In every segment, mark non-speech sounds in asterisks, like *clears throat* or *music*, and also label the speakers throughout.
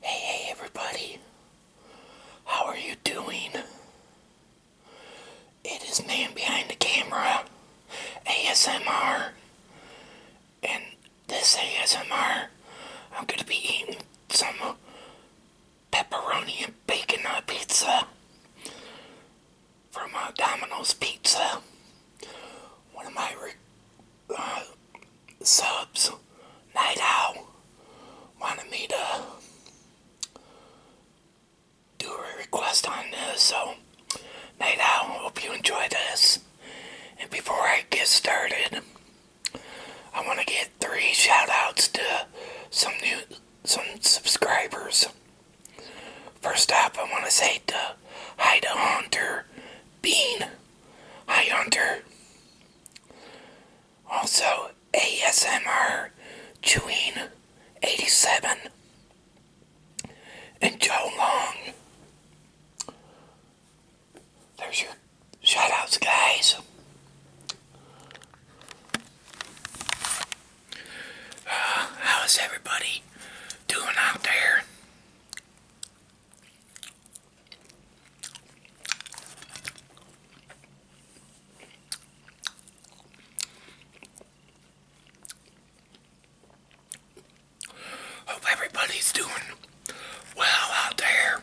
Speaker 1: Hey, hey, everybody. How are you doing? It is Man Behind the Camera ASMR. And this ASMR, I'm going to be eating some pepperoni and bacon on pizza from uh, Domino's Pizza. One of my subs, Night Owl, wanted me to do a request on this, so Night Owl, hope you enjoy this. And before I get started, I want to get three shout outs to some new some subscribers. First up, I want to say to Hide to Hunter Bean. Hi, Hunter. Also, ASMR Chewing 87 and Joe Long. There's your shoutouts, guys. Uh, how is everybody doing out there? Hope everybody's doing well out there.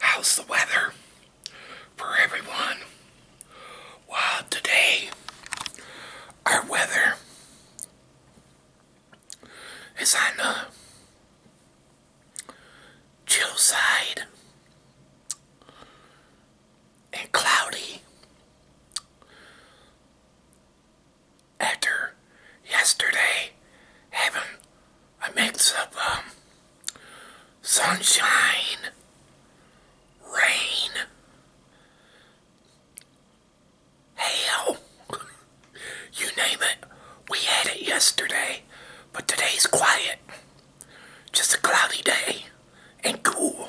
Speaker 1: How's the weather for everyone? Well, today our weather it's on the chill side and cloudy after yesterday Heaven, a mix of um, sunshine, rain, Hell, *laughs* you name it, we had it yesterday, but today's quiet. Just a cloudy day and cool.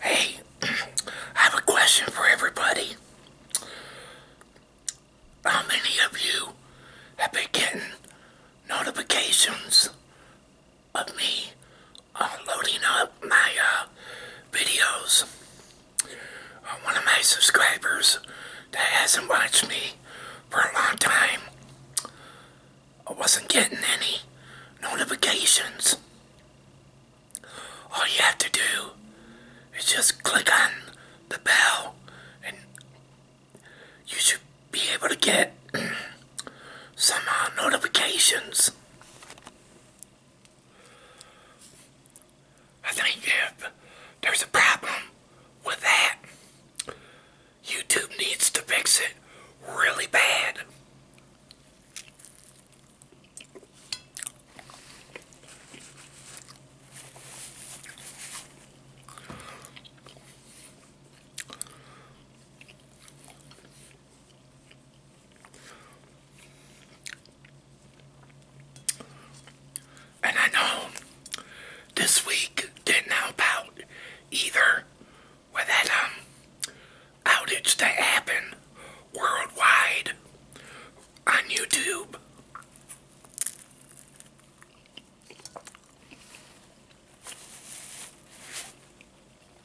Speaker 1: Hey, *clears throat* I have a question for everybody. How many of you have been getting notifications of me uh, loading up my uh, videos. Uh, one of my subscribers that hasn't watched me for a long time I uh, wasn't getting any notifications. All you have to do is just click on the bell and you should be able to get *clears throat* some uh, notifications. I think if there's a problem with that, YouTube needs to fix it really bad. And I know this week didn't help out either with that um, outage that happened worldwide on YouTube.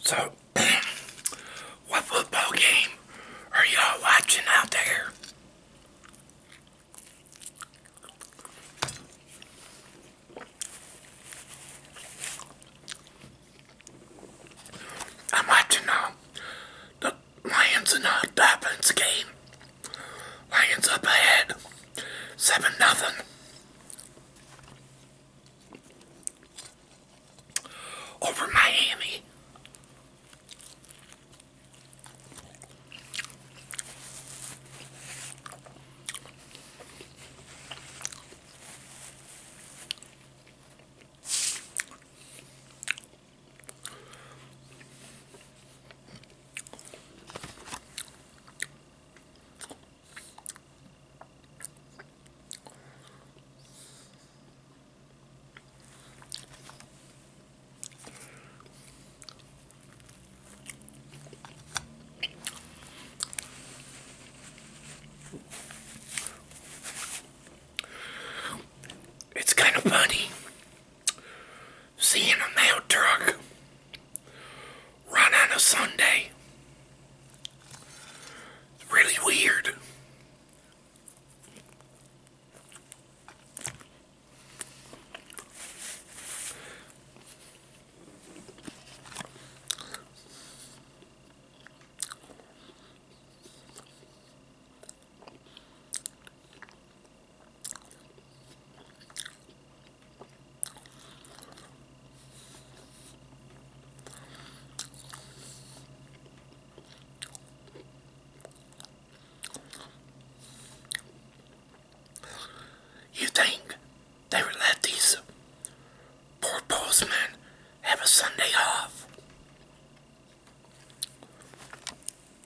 Speaker 1: So, *clears throat* what football game are y'all watching out there? I'm watching uh, the Lions and Hot Dolphins game. Lions up ahead. 7 nothing. Over Miami. It's kind of funny seeing a mail truck run on a Sunday. It's really weird. You think they would let these poor postmen have a Sunday off?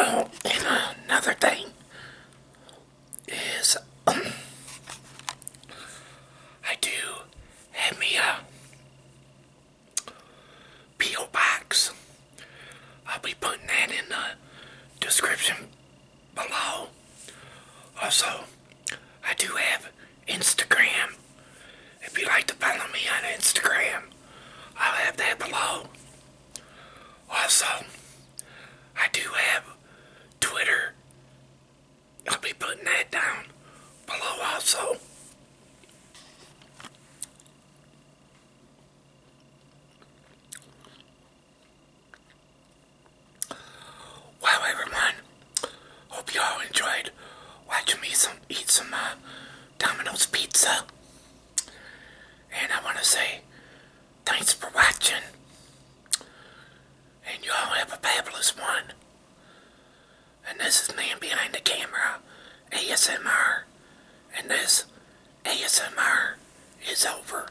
Speaker 1: Oh, and another thing is I do have me a P.O. box. I'll be putting that in the description below. Also, I do have Instagram. If you would like to follow me on Instagram, I'll have that below. Also, I do have Twitter. I'll be putting that down below also. Wow, everyone. Hope you all enjoyed watching me some eat some uh, Domino's pizza. And I want to say thanks for watching. And you all have a fabulous one. And this is Man Behind the Camera, ASMR. And this ASMR is over.